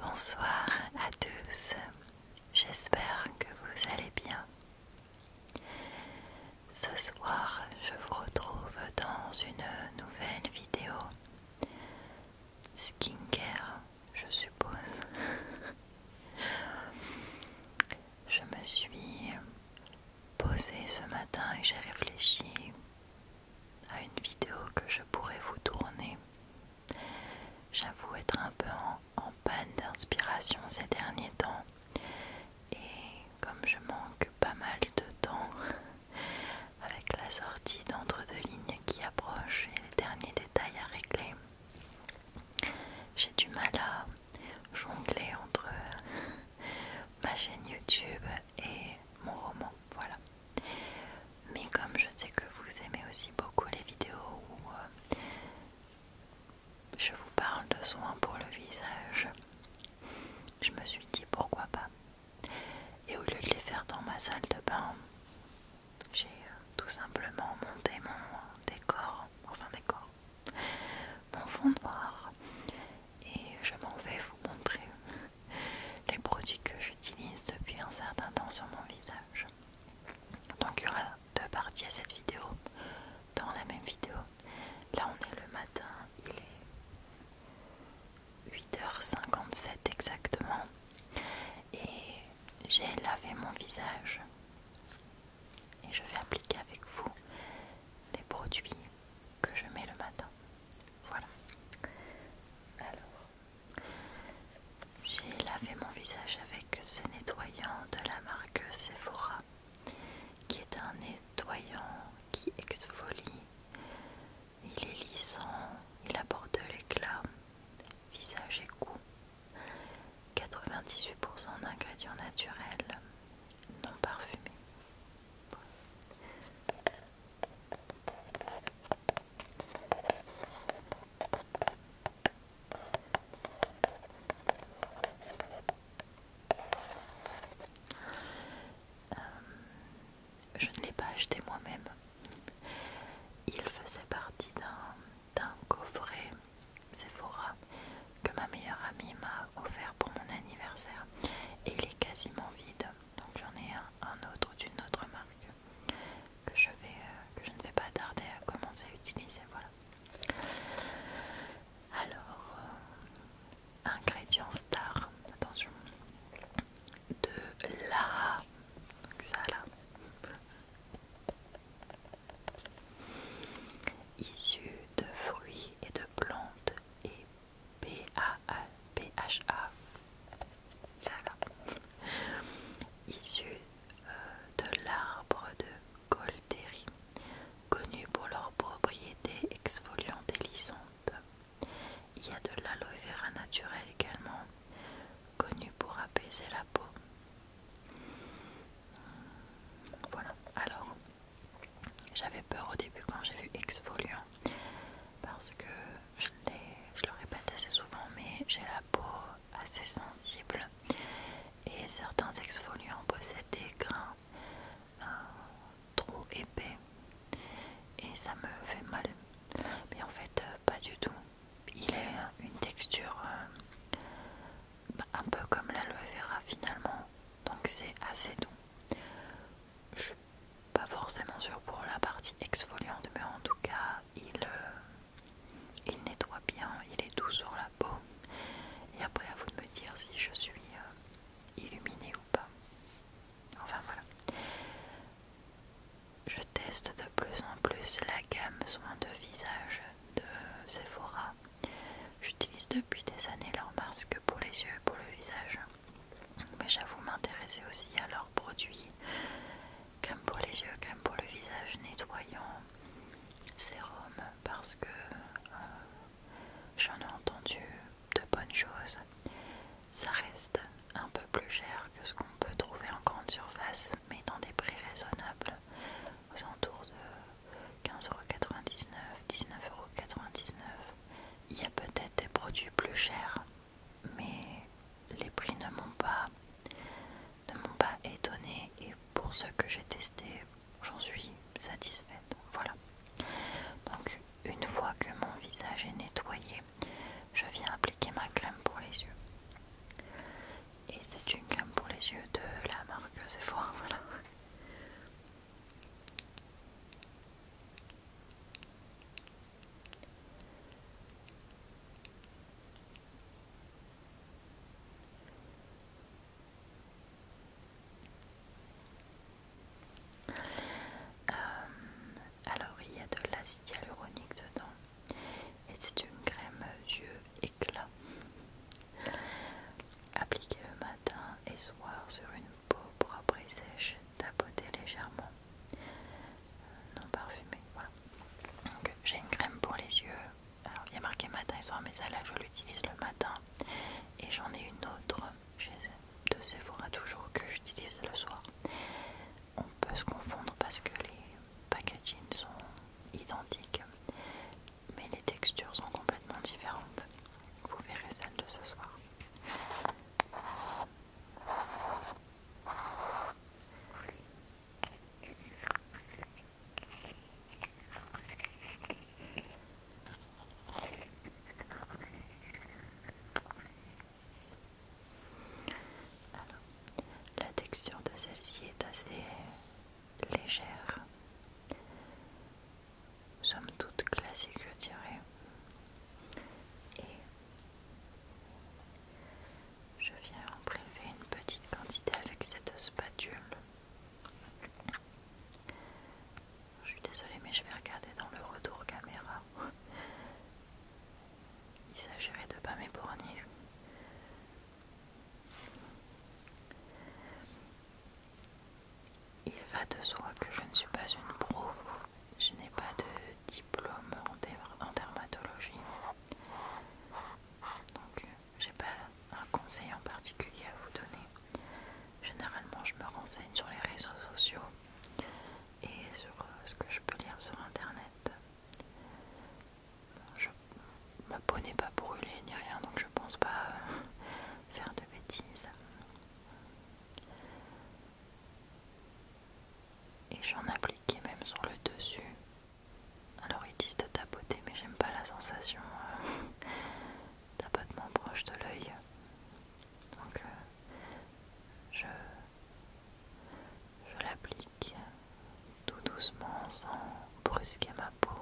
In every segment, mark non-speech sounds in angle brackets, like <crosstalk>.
Bonsoir à tous, j'espère que vous allez bien. Ce soir, je vous retrouve dans une nouvelle vidéo skincare je suppose. <laughs> je me suis posée ce matin et j'ai réfléchi à une vidéo que je pourrais vous tourner. J'avoue être un peu en, panne d'inspiration ces derniers temps. Et comme je manque pas mal de temps <laughs> avec la sortie d'entre deux lignes qui approche et les derniers détails à régler, j'ai du mal à jongler entre <laughs> ma chaîne YouTube et mon roman, voilà. Mais comme je sais que vous aimez aussi beaucoup les vidéos où euh, je vous parle de soins pour le visage, je me suis dit pourquoi pas. Et au lieu de les faire dans ma salle de bain, j'ai euh, tout simplement monté mon décor, enfin décor, mon fond noir et je m'en vais vous montrer <laughs> les produits que j'utilise depuis un certain temps sur mon visage. Donc il y aura deux parties à cette vidéo dans la même vidéo. Là on est le matin, il est 8h57 exactement et j'ai lavé mon visage et je vais appliquer avec vous les produits que je mets le matin. Voilà. Alors, j'ai lavé mon visage avec ce nettoyant de la marque Sephora, qui est un nettoyant qui exfolie. Il est lissant, il apporte de l'éclat, visage et cou. 98% d'ingrédients naturels non parfumés. Euh, je ne l'ai pas acheté moi-même. Il faisait partie d'un d'un coffret Sephora que ma meilleure amie m'a offert pour mon anniversaire et il est quasiment vide donc j'en ai un, autre d'une autre marque que je, vais, euh, que je ne vais pas tarder à commencer à utiliser voilà alors euh, ingrédient star attention de la donc ça là issus de fruits et de plantes et PHA, PHA. issu euh, de l'arbre de Colteri, connu pour leurs propriétés exfoliantes et lissantes. Il y a de l'aloe vera naturelle également, connu pour apaiser la peau. Voilà, alors j'avais peur au début quand j'ai vu exfoliant parce que je, je le répète assez souvent, mais j'ai la peau assez sensible et certains exfoliants possèdent des grains euh, trop épais et ça me fait mal, mais en fait, pas du tout il a euh, une texture euh, bah, un peu comme l'aloe vera finalement, donc c'est assez doux. Je suis pas forcément sûre pour la partie exfoliante, mais en tout cas, il, euh, il nettoie bien, il est doux sur la peau. Et après, à vous de me dire si je suis illuminée ou pas. Enfin voilà. Je teste de plus en plus la gamme soins de visage de Sephora. J'utilise depuis des années leurs masques pour les yeux et pour le visage. Mais j'avoue m'intéresser aussi à leurs produits. comme pour les yeux, comme pour le visage, nettoyant, sérum, parce que euh, j'en ai entendu de bonnes choses. Ça reste un peu plus cher que ce qu'on peut trouver en grande surface, mais dans des prix raisonnables, aux alentours de 15,99€, 19,99€. Il y a peut-être des produits plus chers, mais les prix ne m'ont pas, ne pas étonné et pour ce que j'ai testé j'en suis satisfaite. Voilà. Donc une fois que mon visage est nettoyé, je viens appliquer ma crème pour les yeux. Et c'est une crème pour les yeux de la marque Sephora, <laughs> voilà. Euh, alors il y a de l'acide hyaluronique dedans et c'est une crème yeux éclat appliquée le matin et soir sur une peau propre et sèche tapotée légèrement non parfumée voilà donc j'ai une crème pour les yeux alors il y a marqué matin et soir mais celle-là je l'utilise le matin et j'en ai une autre chez de Sephora toujours que j'utilise le soir on peut se confondre parce que les packaging sont identiques, mais les textures sont complètement différentes. Vous verrez celle de ce soir la texture de celle-ci est assez légère. Somme toute classique, je dirais. Et je viens en prélever une petite quantité avec cette spatule. Je suis désolée, mais je vais regarder dans le retour caméra il s'agirait de pas m'éborgner. Il va de soi que je ne suis pas une pro, je n'ai pas de diplôme en dermatologie. Donc euh, j'ai pas un conseil en particulier à vous donner. Généralement je me renseigne sur les réseaux sociaux et sur euh, ce que je peux lire sur internet. Je, ma peau n'est pas brûlée ni rien, donc je pense pas euh, <laughs> faire de bêtises. Et j'en appliquais même sur le dessus. Alors ils disent de tapoter, mais j'aime pas la sensation de euh, <laughs> tapotement proche de l'œil. Donc je, je l'applique tout doucement sans brusquer ma peau.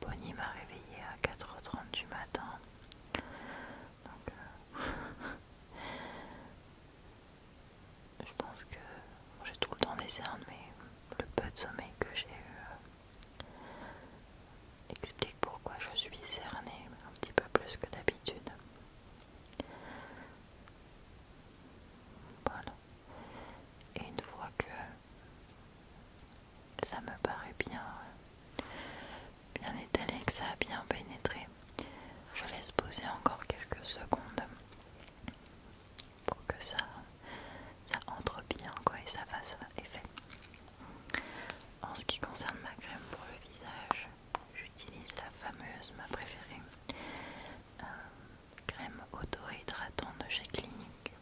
Bonnie m'a réveillée à 4h30 du matin. Donc, euh, je pense que j'ai tout le temps des cernes, mais le peu de sommeil que j'ai eu explique pourquoi je suis cernée un petit peu plus que d'habitude. Voilà. Et une fois que ça me paraît bien, bien étalé, que ça a bien pénétré, je laisse poser encore quelques secondes pour que ça, ça entre bien quoi, et ça fasse effet. En ce qui concerne ma crème pour le visage, j'utilise la fameuse, ma préférée, euh, crème auto-hydratante de chez Clinique.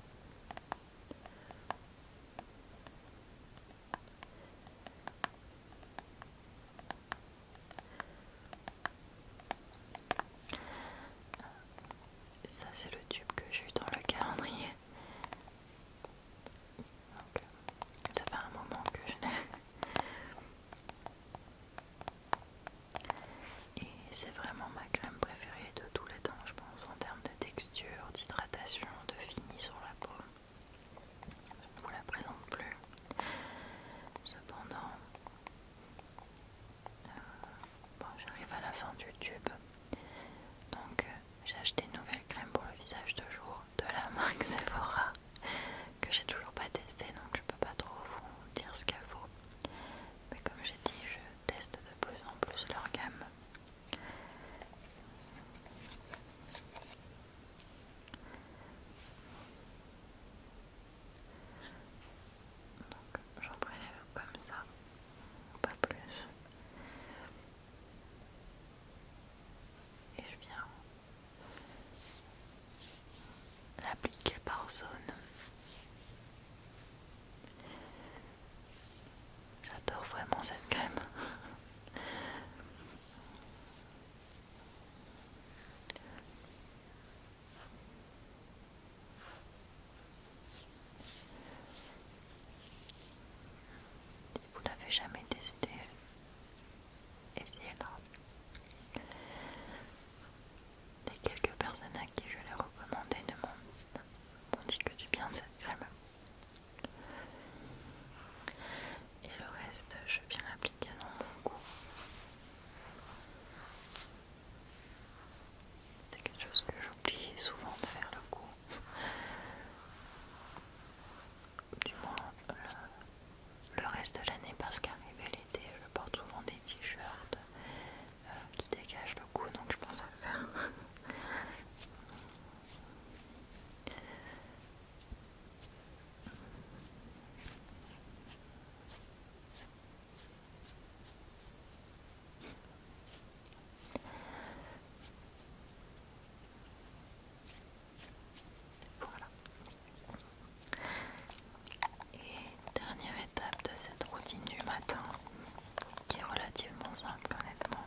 Ça c'est le tube que j'ai eu dans le calendrier donc, ça fait un moment que je l'ai. <laughs> Et c'est vraiment ma crème préférée de tous les temps, je pense, en termes de texture, d'hydratation, de fini sur la peau. Je ne vous la présente plus. Cependant, euh, bon, j'arrive à la fin du tube. Donc, j'ai acheté une nouvelle crème pour le visage de jour de la marque Sephora que j'ai toujours pas testé donc je peux pas trop vous dire ce qu'elle vaut mais comme j'ai dit je teste de plus en plus leur gamme donc j'en prélève comme ça pas plus et je viens l'appliquer par zone. J'adore vraiment cette crème vous l'avez jamais testé, essayez-la. Les quelques personnes à qui je l'ai recommandé ne m'ont dit que du bien de cette crème. Et le reste, je viens l'appliquer dans mon cou. C'est quelque chose que j'oublie souvent de faire le cou du moins le, reste de l'année parce qu'arrivé l'été je porte souvent des t-shirts euh, qui dégagent le cou donc je pense à le faire voilà. Et dernière étape de cette routine du matin, qui est relativement simple honnêtement,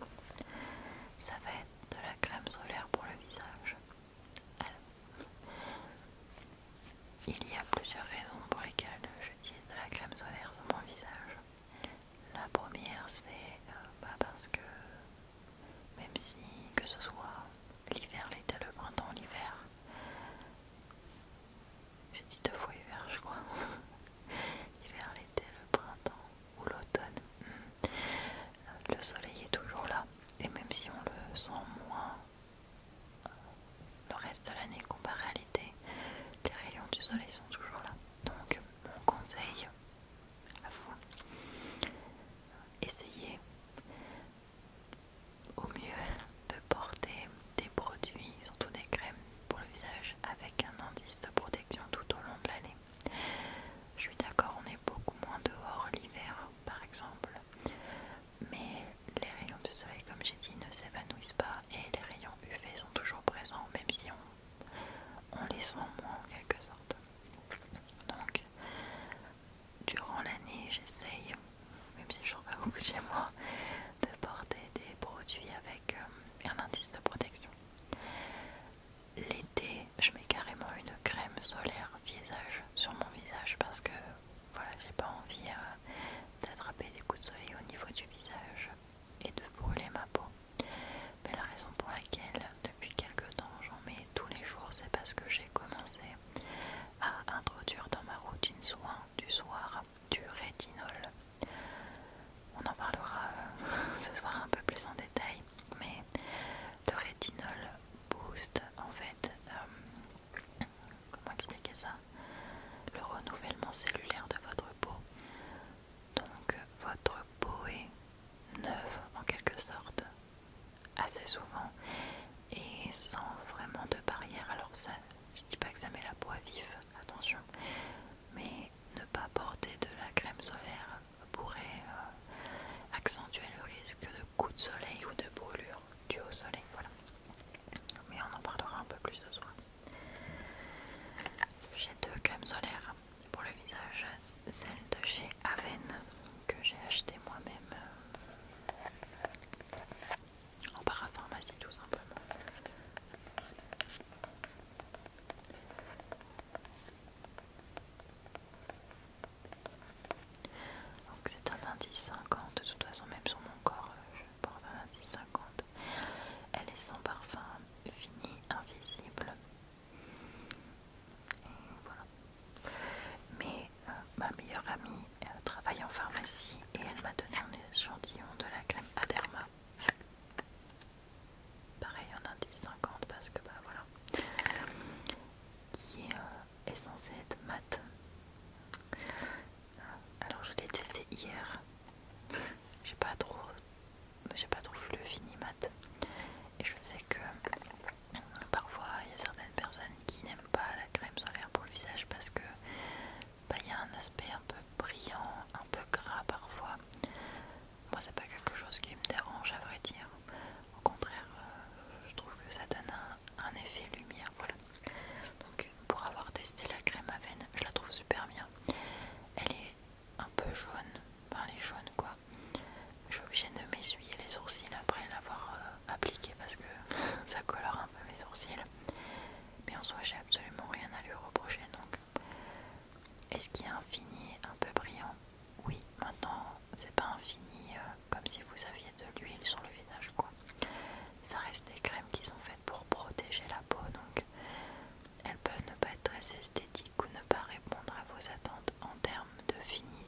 ça va être de la crème solaire pour le visage. il y a plusieurs raisons pour lesquelles je dis de la crème solaire sur mon visage. La première, c'est euh, bah, parce que même si que ce soit l'hiver, l'été, le printemps, l'hiver, j'ai dit deux fois hiver, je crois. <laughs> L'hiver, l'été, le printemps ou l'automne, hmm. le soleil est toujours là. Et même si on le sent moins euh, le reste de l'année comparé à l'été, les rayons du soleil sont toujours là. Donc mon conseil, à Essayez au mieux de porter des produits, surtout des crèmes pour le visage, avec un indice de protection tout au long de l'année. Je suis d'accord, on est beaucoup moins dehors l'hiver par exemple, mais les rayons du soleil, comme j'ai dit, ne s'évanouissent pas et les rayons UV sont toujours présents, même si on on les sent moins en quelque sorte. Donc, durant l'année, j'essaye, même si je ne pas <laughs> beaucoup chez moi, de porter des produits avec euh, un indice de protection. L'été, je mets carrément une crème solaire visage sur mon visage parce que voilà, j'ai pas envie euh, d'attraper des coups de soleil au niveau du visage et de brûler ma peau. Mais la raison pour laquelle depuis quelques temps j'en mets tous les jours, c'est parce que j'ai commencé à introduire dans ma routine soin du soir du rétinol. On en parlera euh, <laughs> ce soir un peu plus en détail, mais le rétinol booste en fait, euh, comment expliquer ça Le renouvellement cellulaire de votre peau donc votre peau est neuve en quelque sorte, assez souvent, et sans vraiment de barrière. Alors ça, je dis pas que ça met la peau à vif, attention, mais ne pas porter de la crème solaire pourrait euh, accentuer le risque de coups de soleil ou de brûlure due au soleil, voilà. Mais on en parlera un peu plus ce soir. J'ai deux crèmes solaires pour le visage, celle de chez Aven que j'ai acheté moi-même euh, en parapharmacie tout simplement. Donc c'est un indice 50, de toute façon même sur mon corps euh, je porte un indice 50. Elle est sans parfum fini invisible. voilà. Mais euh, ma meilleure amie travaille en pharmacie et elle m'a donné un échantillon de la crème Aderma. Pareil en indice 50 parce que bah voilà. Qui euh, est censé être mat. Euh, alors je l'ai testé hier. J'ai pas trop j'ai pas trop le fini mat. Et je sais que parfois il y a certaines personnes qui n'aiment pas la crème solaire pour le visage parce que bah, il y a un aspect un peu brillant, un peu gras parfois. Moi c'est pas quelque chose qui me dérange à vrai dire. Au contraire, euh, je trouve que ça donne un, un effet lumière. Voilà. Donc pour avoir testé la crème à veine, je la trouve super bien. Elle est un peu jaune, enfin les jaunes quoi. Je suis obligée de m'essuyer les sourcils après l'avoir euh, appliqué parce que <laughs> ça colore un peu mes sourcils. Mais en soit j'ai absolument rien à lui reprocher donc. Est-ce qu'il y a un fini un peu brillant Oui, maintenant c'est pas un fini euh, comme si vous aviez de l'huile sur le visage quoi. Ça reste des crèmes qui sont faites pour protéger la peau donc elles peuvent ne pas être très esthétiques ou ne pas répondre à vos attentes en termes de fini.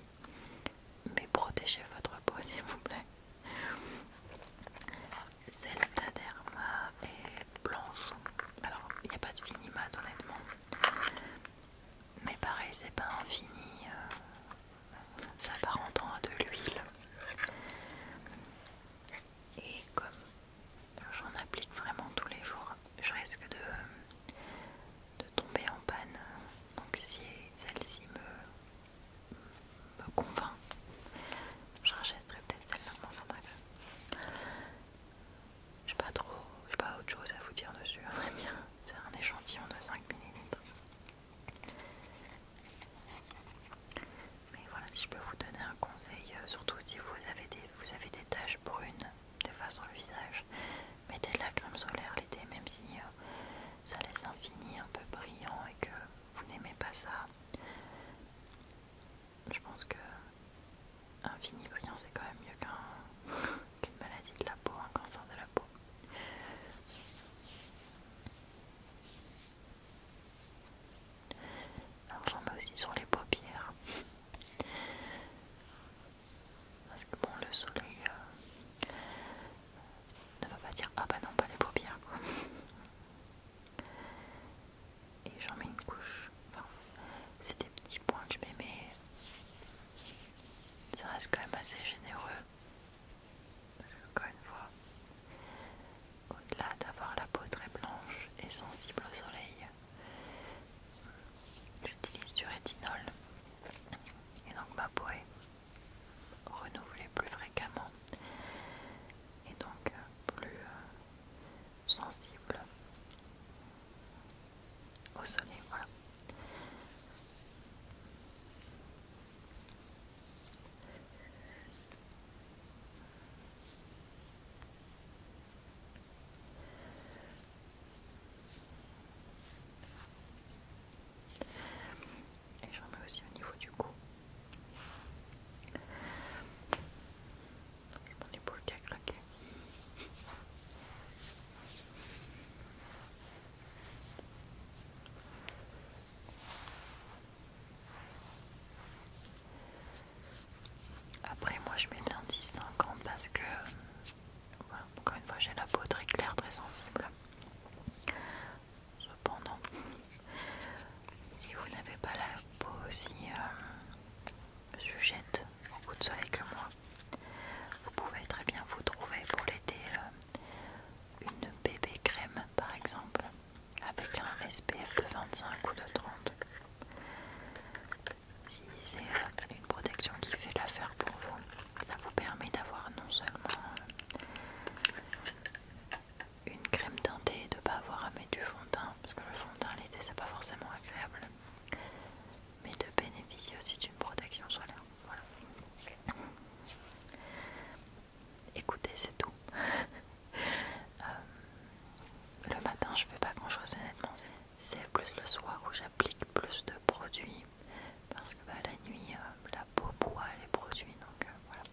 Mais protégez votre peau <laughs> s'il vous plaît. Celle d'Aderma est blanche. Alors il n'y a pas de fini honnêtement. Mais pareil c'est pas un fini. Euh, ça à de l'huile. Et comme j'en applique vraiment tous les jours, je risque de, de tomber en panne. Donc si celle-ci me, convainc, je rachèterai peut-être celle-là. Je n'ai J'ai pas trop, pas autre chose à vous dire dessus, à vrai C'est un échantillon de 5 ml. Mais voilà, si je peux vous donner un conseil, euh, surtout si vous avez des, vous avez des taches brunes, des fois sur le visage, mettez de la crème solaire l'été, même si euh, ça laisse un fini un peu brillant et que vous n'aimez pas ça. Je pense que un fini brillant, c'est quand même mieux qu'un <laughs> qu'une maladie de la peau, un cancer de la peau. Alors j'en mets aussi sur les paupières. Parce que bon, le soleil euh, ne va pas dire ah bah non, pas les paupières quoi. Et j'en mets une couche. Enfin, c'est des petits points que je mets, mais ça reste quand même assez généreux. Parce que, encore une fois, au-delà d'avoir la peau très blanche et sensible au soleil, j'utilise du rétinol et donc ma peau est renouvelée plus fréquemment et donc plus euh, sensible au soleil. Voilà. Et j'en mets aussi au niveau du cou. Mon épaule qui a craqué. Après, moi je mets de l'indice 50 parce que, encore une fois, j'ai la peau très claire, très sensible. Cependant, si vous n'avez pas la peau aussi euh, sujette au coup de soleil que moi, vous pouvez très bien vous trouver pour l'été euh, une bébé crème par exemple, avec un SPF de 25 ou de 30. Si c'est euh, une protection qui fait l'affaire pour vous, ça vous permet d'avoir non seulement une crème teintée et de ne pas avoir à mettre du fond de teint, parce que le fond de teint l'été c'est pas forcément agréable, mais de bénéficier aussi d'une protection solaire. Voilà écoutez c'est tout. <laughs> Euh, le matin, je fais pas grand chose, honnêtement. C'est plus le soir où j'applique plus de produits parce que bah, la nuit, euh, la peau boit les produits, donc euh, voilà.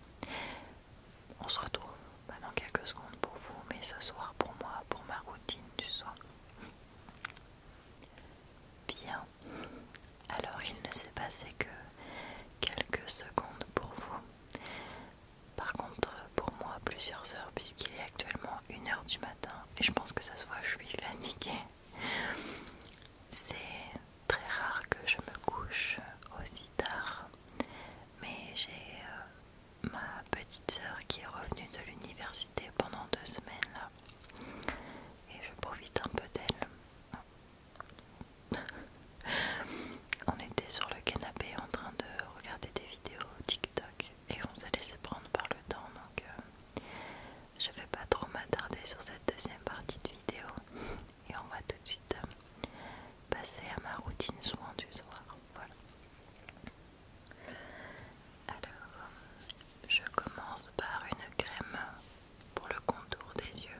On se retrouve bah, dans quelques secondes pour vous, mais ce soir pour moi, pour ma routine du soir. Bien. Alors il ne s'est passé que quelques secondes pour vous. Par contre, pour moi, plusieurs heures, puisqu'il est actuellement 1h du matin, et je pense que ça soit je suis fatiguée. C'est très rare que je me couche aussi tard, mais j'ai euh, ma petite sœur qui est revenue de l'université pendant deux semaines, et je profite un peu d'elle. <laughs> on était sur le canapé en train de regarder des vidéos TikTok et on s'est laissé prendre par le temps donc euh, je vais pas trop m'attarder sur cette deuxième partie de vidéo et on va tout de suite euh, passer à ma routine soin du soir. Voilà. Alors, je commence par une crème pour le contour des yeux.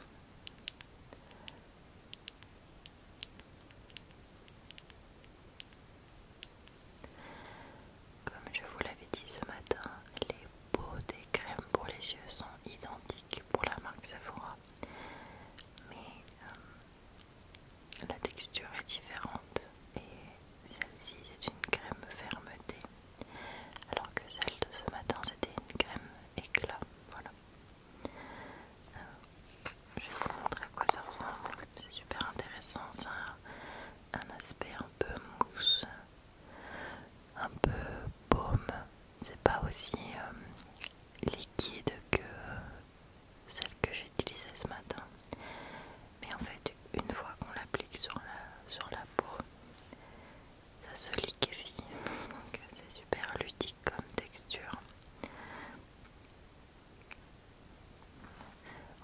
Comme je vous l'avais dit ce matin, les pots des crèmes pour les yeux sont identiques pour la marque Sephora, mais euh, la texture est différente et celle-ci est une crème fermeté, alors que celle de ce matin c'était une crème éclat. Voilà. Euh, je vais vous montrer à quoi ça ressemble. C'est super intéressant. Ça a un aspect un peu mousse, un peu baume. C'est pas aussi euh, liquide que celle que j'utilisais ce matin. Mais en fait, une fois qu'on l'applique sur la, sur la peau, ça se liquéfie. <laughs> Donc c'est super ludique comme texture.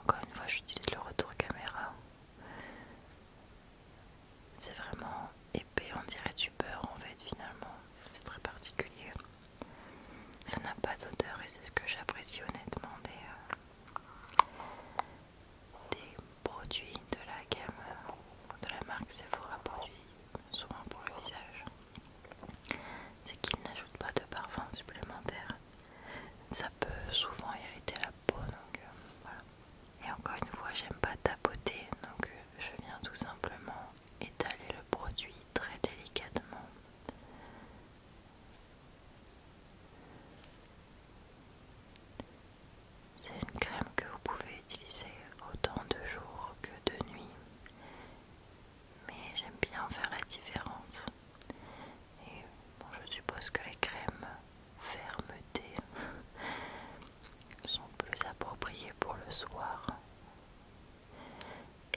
Encore une fois, j'utilise le retour caméra. C'est vraiment épais, on dirait du beurre en fait finalement. C'est très particulier. Ça n'a pas d'odeur et c'est ce que j'apprécie honnêtement des, euh, produits de la gamme de la marque Sephora Produits souvent pour le visage, c'est qu'il n'ajoute pas de parfum supplémentaire. Ça peut souvent irriter la peau, donc euh, voilà. Et encore une fois, j'aime pas tapoter, donc euh, je viens tout simplement étaler le produit très délicatement. C'est une crème que vous pouvez utiliser autant de jour que de nuit Mais j'aime bien faire la différence. Et je suppose que les crèmes fermeté sont plus appropriées pour le soir.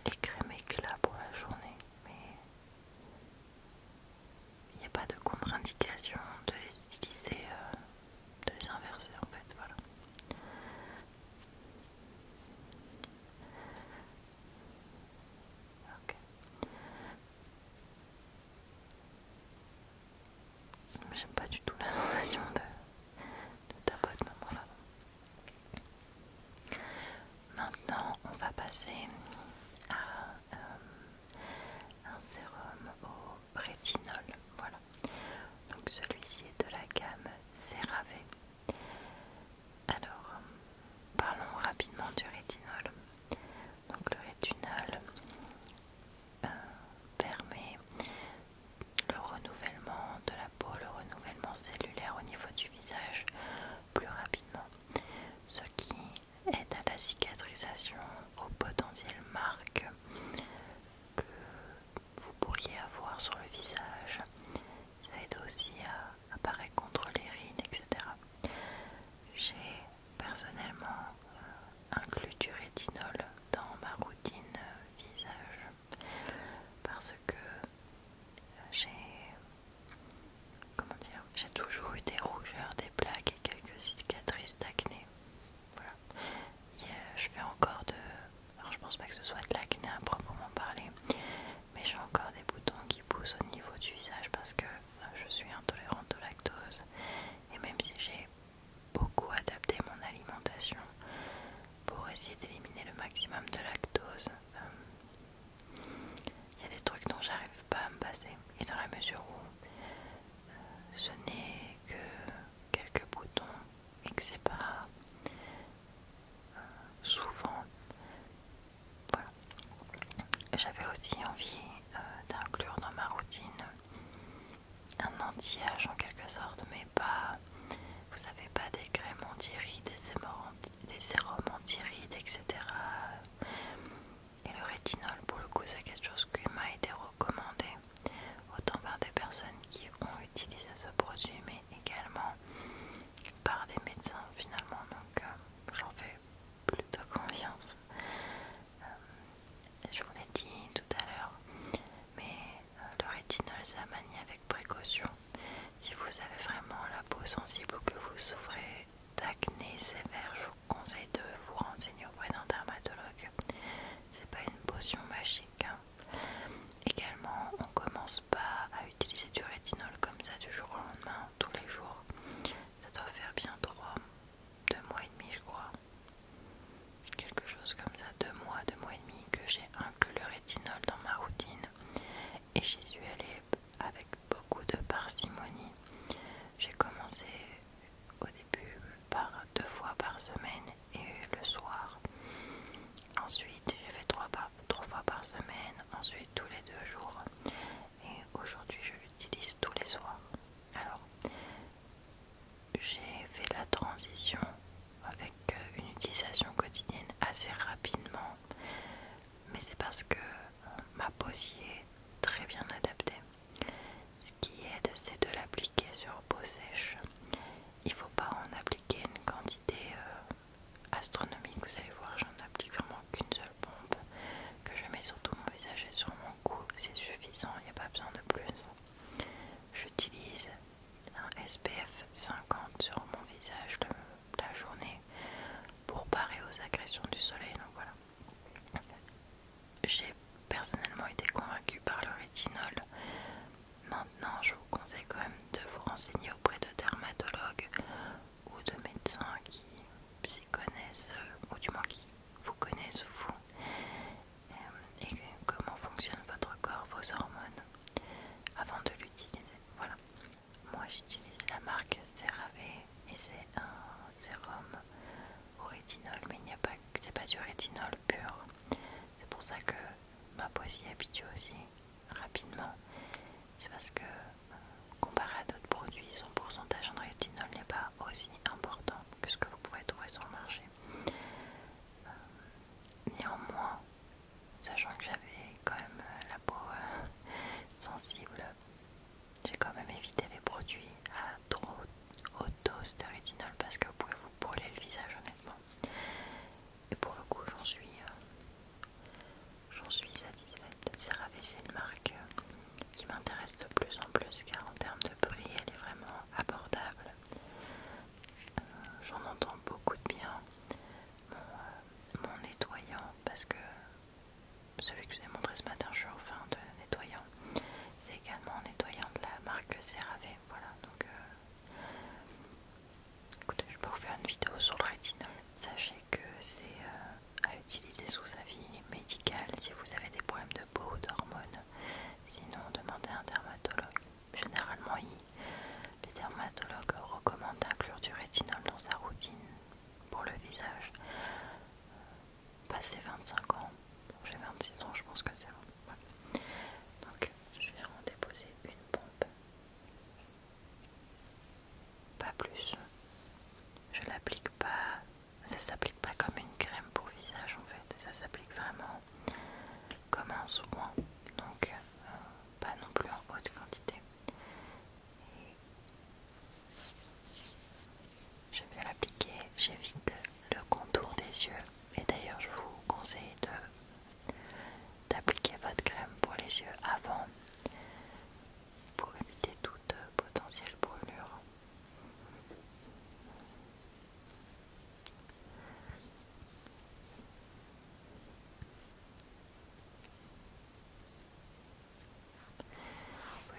Les crèmes éclats pour la journée, mais il n'y a pas de contre-indication de les utiliser euh, de les inverser en fait, voilà. Ok. J'aime pas du tout la sensation de, de ta botte, mais Maintenant, on va passer à euh, un sérum au rétinol. Voilà. Donc celui-ci est de la gamme CeraVe. Alors, parlons rapidement du rétinol. Donc le rétinol euh, permet le renouvellement de la peau, le renouvellement cellulaire au niveau du visage plus rapidement, ce qui aide à la cicatrisation, au potentiel marques que vous pourriez avoir sur le visage. Ça aide aussi à apparaître contre les rides, etc. J'ai personnellement euh, inclus du rétinol dans ma routine euh, visage parce que j'ai comment dire j'ai toujours eu des rougeurs, des plaques et quelques cicatrices d'acné. Euh, je fais encore de. Alors je pense pas que ce soit de l'acné à proprement parler, mais j'ai encore des boutons qui poussent au niveau du visage parce que euh, je suis intolérante au lactose. Et même si j'ai beaucoup adapté mon alimentation pour essayer d'éliminer le maximum de lactose, euh, il y a des trucs dont j'arrive pas à me passer. Et dans la mesure où ce n'est que quelques boutons et que c'est pas euh, souvent. Voilà. J'avais aussi envie euh, d'inclure dans ma routine un anti-âge en quelque sorte, mais pas, vous savez, pas des crèmes anti-rides, des sérums anti-rides, etc. Et le rétinol, pour le coup, c'est quelque chose qui m'a été recommandé autant par des personnes qui ont utilisé ce produit, mais également par des médecins finalement. Donc euh, j'en fais plutôt confiance. Euh, je vous l'ai dit tout à l'heure, mais euh, le rétinol, ça manie avec précaution. Si vous avez vraiment la peau sensible ou que vous souffrez d'acné sévère, je vous conseille de vous renseigner auprès d'un dermatologue c'est pas une potion magique. Hein. Également, on commence pas à utiliser du rétinol comme ça du jour au lendemain, tous les jours. Ça doit faire bien 3, 2 mois et demi, je crois. Quelque chose comme ça, 2 mois, 2 mois et demi que j'ai inclus le rétinol dans ma routine. Et j'y suis allée avec beaucoup de parcimonie. J'ai commencé au début par deux fois par semaine et le soir. Ensuite, j'ai fait trois, trois fois par semaine, ensuite tous les deux jours. Et aujourd'hui, je l'utilise tous les soirs. Alors, j'ai fait la transition avec euh, une utilisation quotidienne assez rapidement, mais c'est parce que euh, ma s'y est très bien adaptée. Ce qui aide, c'est de l'appliquer sur peau sèche. Il ne faut pas en appliquer une quantité euh, astronomique. Vous allez voir, j'en applique vraiment qu'une seule pompe que je mets sur tout mon visage et sur mon cou. C'est suffisant, il n'y a pas besoin de plus. J'utilise un SPF 50 sur mon visage la journée pour parer aux agressions du soleil. Donc voilà j'ai personnellement été convaincue par le rétinol. Maintenant, je vous conseille quand même de vous renseigner auprès de dermatologues ou de médecins qui s'y connaissent, euh, ou du moins qui vous connaissent vous, et comment fonctionne votre corps, vos hormones, avant de l'utiliser. Voilà. Moi, j'utilise la marque CeraVe et c'est un sérum au rétinol, mais il n'y a pas, c'est pas du rétinol pur. C'est pour ça que ma peau s'y habitue aussi rapidement. C'est parce que comparé à d'autres produits, son pourcentage en rétinol n'est pas aussi important que ce que vous pouvez trouver sur le marché. Euh, néanmoins, sachant que j'avais quand même euh, la peau euh, <laughs> sensible, j'ai quand même évité les produits à trop Auto, dose parce que vous pouvez vous brûler le visage honnêtement. Et pour le coup j'en suis euh, j'en suis satisfaite. CeraVe c'est une marque euh, qui m'intéresse de plus en plus car en termes de prix elle est vraiment abordable. Euh, j'en entends beaucoup de bien. Mon, mon nettoyant parce que celui que je vous ai montré ce matin je suis en fin de nettoyant c'est également en nettoyant de la marque CeraVe. Voilà, donc euh, écoutez, je peux vous faire une vidéo sur le rétinol. Sachez que c'est euh, à utiliser sous avis médical si vous avez des problèmes de peau ou d'hormones. Sinon, demandez à un dermatologue. Généralement, les dermatologues recommandent d'inclure du rétinol dans sa routine pour le visage. Euh, passé bah, 25 ans. J'ai 26 ans, je pense que c'est bon. Donc, je vais en déposer une pompe. Pas plus. Je l'applique pas. Ça s'applique pas comme une crème pour visage en fait. Ça s'applique vraiment comme un soin. Donc, euh, pas non plus en haute quantité. Je viens l'appliquer, j'évite le contour des yeux. Et d'ailleurs, je vous conseille d'appliquer votre crème pour les yeux avant pour éviter toute euh, potentielle brûlure.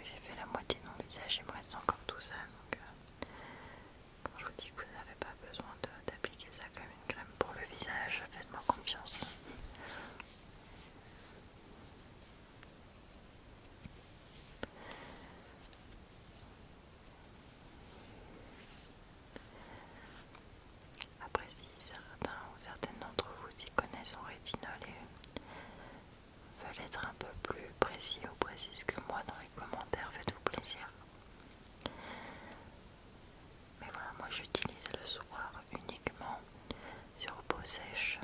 j'ai fait la moitié de mon visage, il me reste encore tout ça. Euh, quand je vous dis que vous n'avez pas besoin d'appliquer ça comme une crème pour le visage, faites-moi confiance. Après si certains ou certaines d'entre vous y connaissent en rétinol et veulent être un peu plus précis ou précise que moi dans les commentaires, faites-vous plaisir. Mais voilà, moi j'utilise le soir uniquement sur peau sèche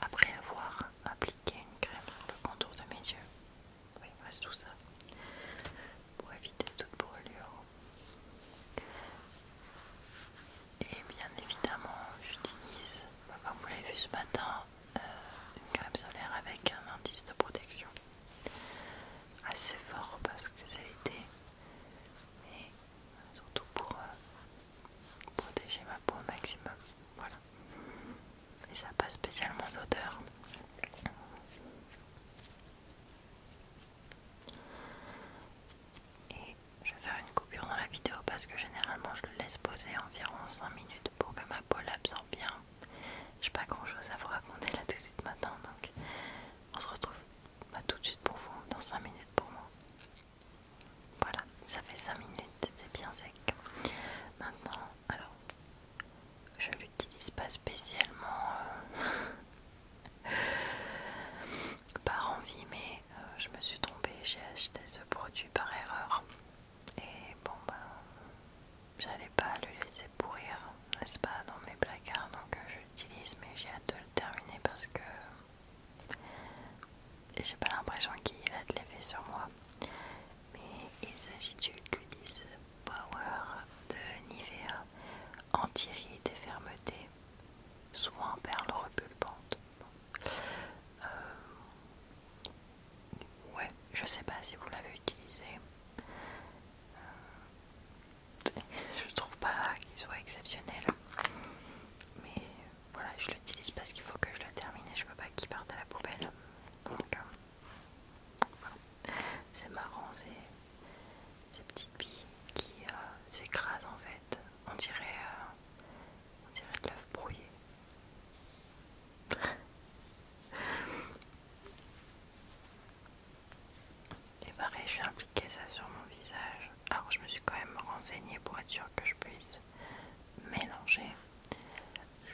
après avoir appliqué une crème sur le contour de mes yeux. Oui, il tout ça pour éviter toute brûlure. Et bien évidemment, j'utilise, comme vous l'avez vu ce matin, euh, une crème solaire avec un indice de protection assez fort parce que c'est l'été mais surtout pour euh, protéger ma peau au maximum. Voilà. Et ça passe pas spécialement d'odeur. Et je vais faire une coupure dans la vidéo parce que généralement je le laisse poser environ 5 minutes pour que ma peau l'absorbe bien. J'ai pas grand chose à vous raconter là tout de suite matin, donc on se retrouve bah, tout de suite pour vous, dans 5 minutes pour moi. Voilà, ça fait 5 minutes, c'est bien sec. Maintenant, alors, je l'utilise pas spécialement euh, <laughs> par envie, mais euh, je me suis trompée, j'ai acheté ce produit par erreur. Et bon, bah j'allais pas le laisser pourrir, n'est-ce pas, dans mes placards, donc euh, j'utilise, mais j'ai hâte de le terminer parce que j'ai pas l'impression qu'il a de l'effet sur moi. Mais il s'agit du Que Power de Nivea, anti des fermetés soit soin perle repulpantes. Euh, ouais, je sais pas si vous l'avez utilisé. Euh, <laughs> je trouve pas qu'il soit exceptionnel. Mais voilà, je l'utilise parce qu'il faut que je le termine et je veux pas qu'il parte à la poubelle. Donc, euh, c'est marrant, ces petites billes qui s'écrasent en fait. On dirait. On dirait de l'œuf brouillé. <laughs> Et pareil, je vais appliquer ça sur mon visage. Alors, je me suis quand même renseignée pour être sûre que je puisse mélanger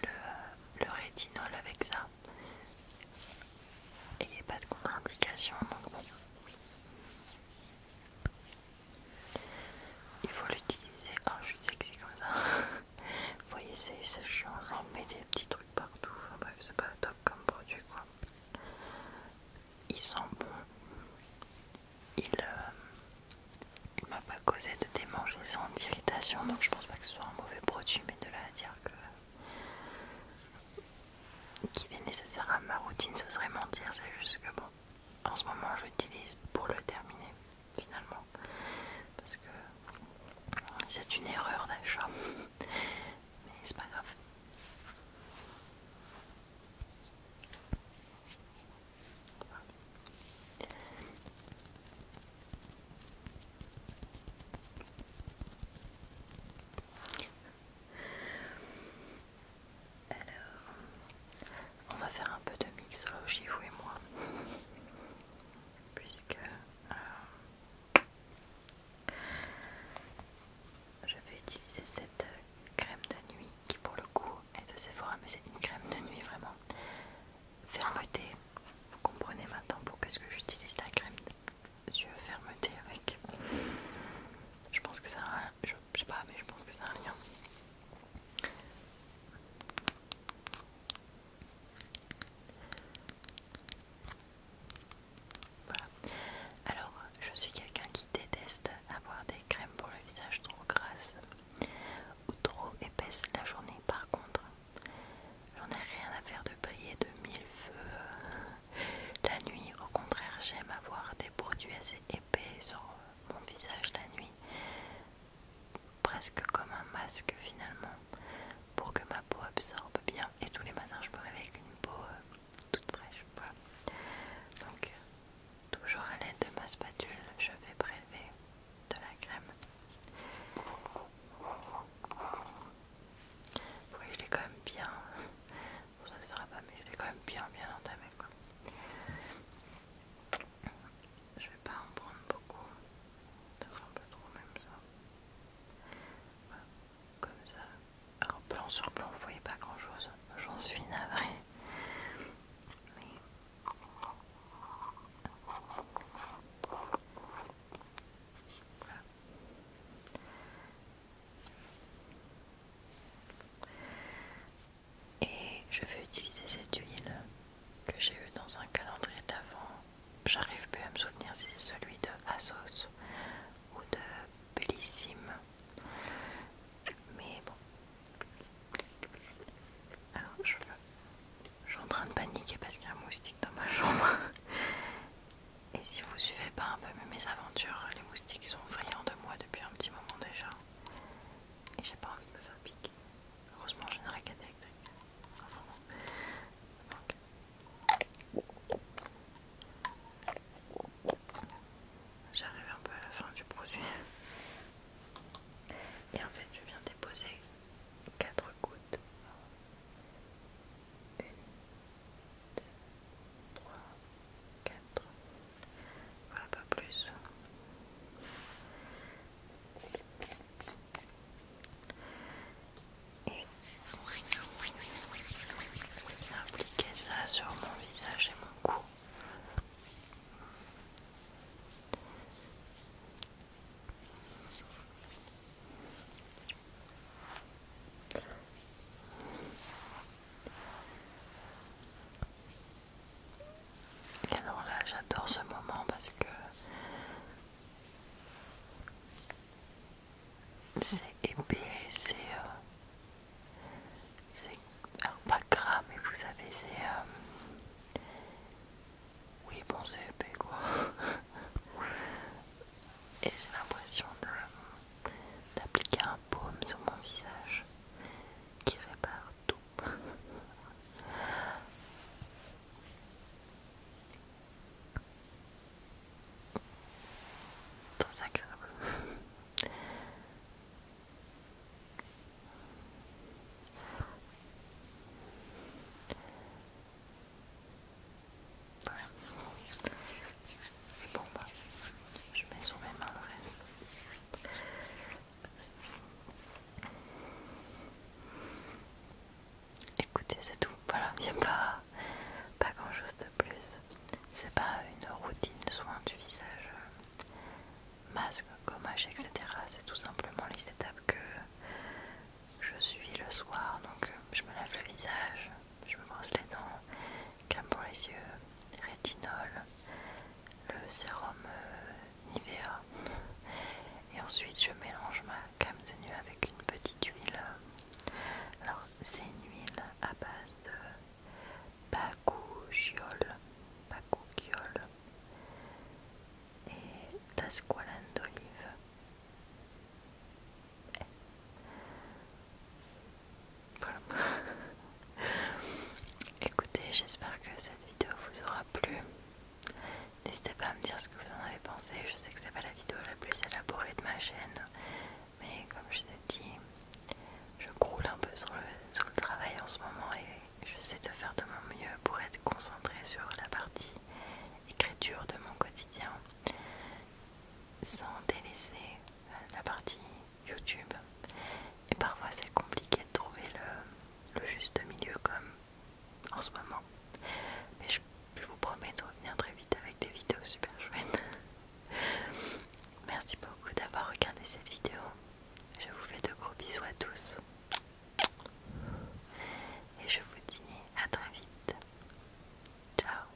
le, rétinol avec ça. Et il n'y a pas de contre-indication, donc bon. Il faut l'utiliser. Oh, je suis sexy comme ça. <laughs> Vous voyez, c'est chiant, on met des petits trucs partout. Enfin bref, c'est pas top comme produit quoi. Il sent euh, bon. Il, m'a pas causé de démangeaisons, d'irritation, donc je pense pas que ce soit un mauvais produit, mais de là à dire que qu'il est nécessaire à ma routine, ce serait mentir, c'est juste que bon, en ce moment je l'utilise pour le terminer finalement parce que c'est une erreur d'achat mais c'est pas grave alors, on va faire un peu de mixologie, vous et moi, <laughs> puisque euh, je vais utiliser cette crème de nuit qui, pour le coup, est de Sephora, mais c'est une crème de nuit vraiment fermeté. Vous comprenez maintenant pourquoi est-ce que j'utilise la crème yeux fermeté avec. Je pense que ça, je sais pas, mais je pense que c'est un lien. Alors, je suis quelqu'un qui déteste avoir des crèmes pour le visage trop grasses ou trop épaisses la journée. Par contre, j'en ai rien à faire de briller de mille feux la nuit. Au contraire, j'aime avoir des produits assez épais sur mon visage la nuit, presque comme un masque finalement, pour que ma peau absorbe bien. Et tous les matins, je me réveille avec une peau euh, toute fraîche. Voilà. Donc, toujours à l'aide de ma spatule, je vais prélever de la crème. Vous voyez, je l'ai quand même bien. <laughs> ça se fera pas, mais je l'ai quand même bien, bien entamé quoi. Je vais pas en prendre beaucoup, ça fait un peu trop même ça. comme ça. Alors plan sur plan, vous voyez pas grand chose, j'en suis navrée. Mais... Et je vais utiliser cette huile que j'ai eue dans un calendrier d'avant. J'arrive plus à me souvenir si c'est celui de Asos ou de Bellissime. Mais bon. Alors je, suis en train de paniquer parce qu'il y a un moustique dans ma chambre. Et si vous suivez pas un peu mes aventures, les moustiques sont friands de moi depuis un petit moment déjà et j'ai pas envie de me faire piquer. Heureusement, je une qu'à électrique. j'arrive un peu à la fin du produit. Et en fait, je viens déposer 4 gouttes. 1, 4. Voilà, pas plus. Et appliquer ça sur mon visage et mon cou alors là, j'adore ce moment parce que c'est épais, c'est. Euh, pas gras, mais vous savez, c'est. Euh, oui, bon, c'est épais quoi. <laughs> Et j'ai l'impression d'appliquer un baume sur mon visage qui répare tout. Très <laughs> agréable. <laughs> Voilà. Bon bah, je mets sur mes mains le reste. Écoutez, c'est tout. Voilà, il n'y a pas, grand chose de plus. C'est pas une routine soin du visage, euh, masque, gommage, etc. C'est tout simplement les étapes que je suis le soir. Donc, je me lave le visage, je me brosse les dents, crème pour les yeux, rétinol, le sérum euh, Nivea et ensuite je mélange ma crème de nuit avec une petite huile alors c'est une huile à base de Bacouchiol et d'asqualane d'olive voilà. <laughs> Écoutez, j'espère que cette vidéo vous aura plu. N'hésitez pas à me dire ce que vous en avez pensé. Je sais que c'est pas la vidéo la plus élaborée de ma chaîne, mais comme je vous ai dit, je croule un peu sur le, travail en ce moment et j'essaie de faire de mon mieux pour être concentrée sur la partie écriture de mon quotidien sans délaisser euh, la partie YouTube. Et parfois c'est compliqué de trouver le, juste milieu comme en ce moment. Mais je, je vous promets de revenir très vite avec des vidéos super chouettes. <laughs> Merci beaucoup d'avoir regardé cette vidéo. Je vous fais de gros bisous à tous. Et je vous dis à très vite. Ciao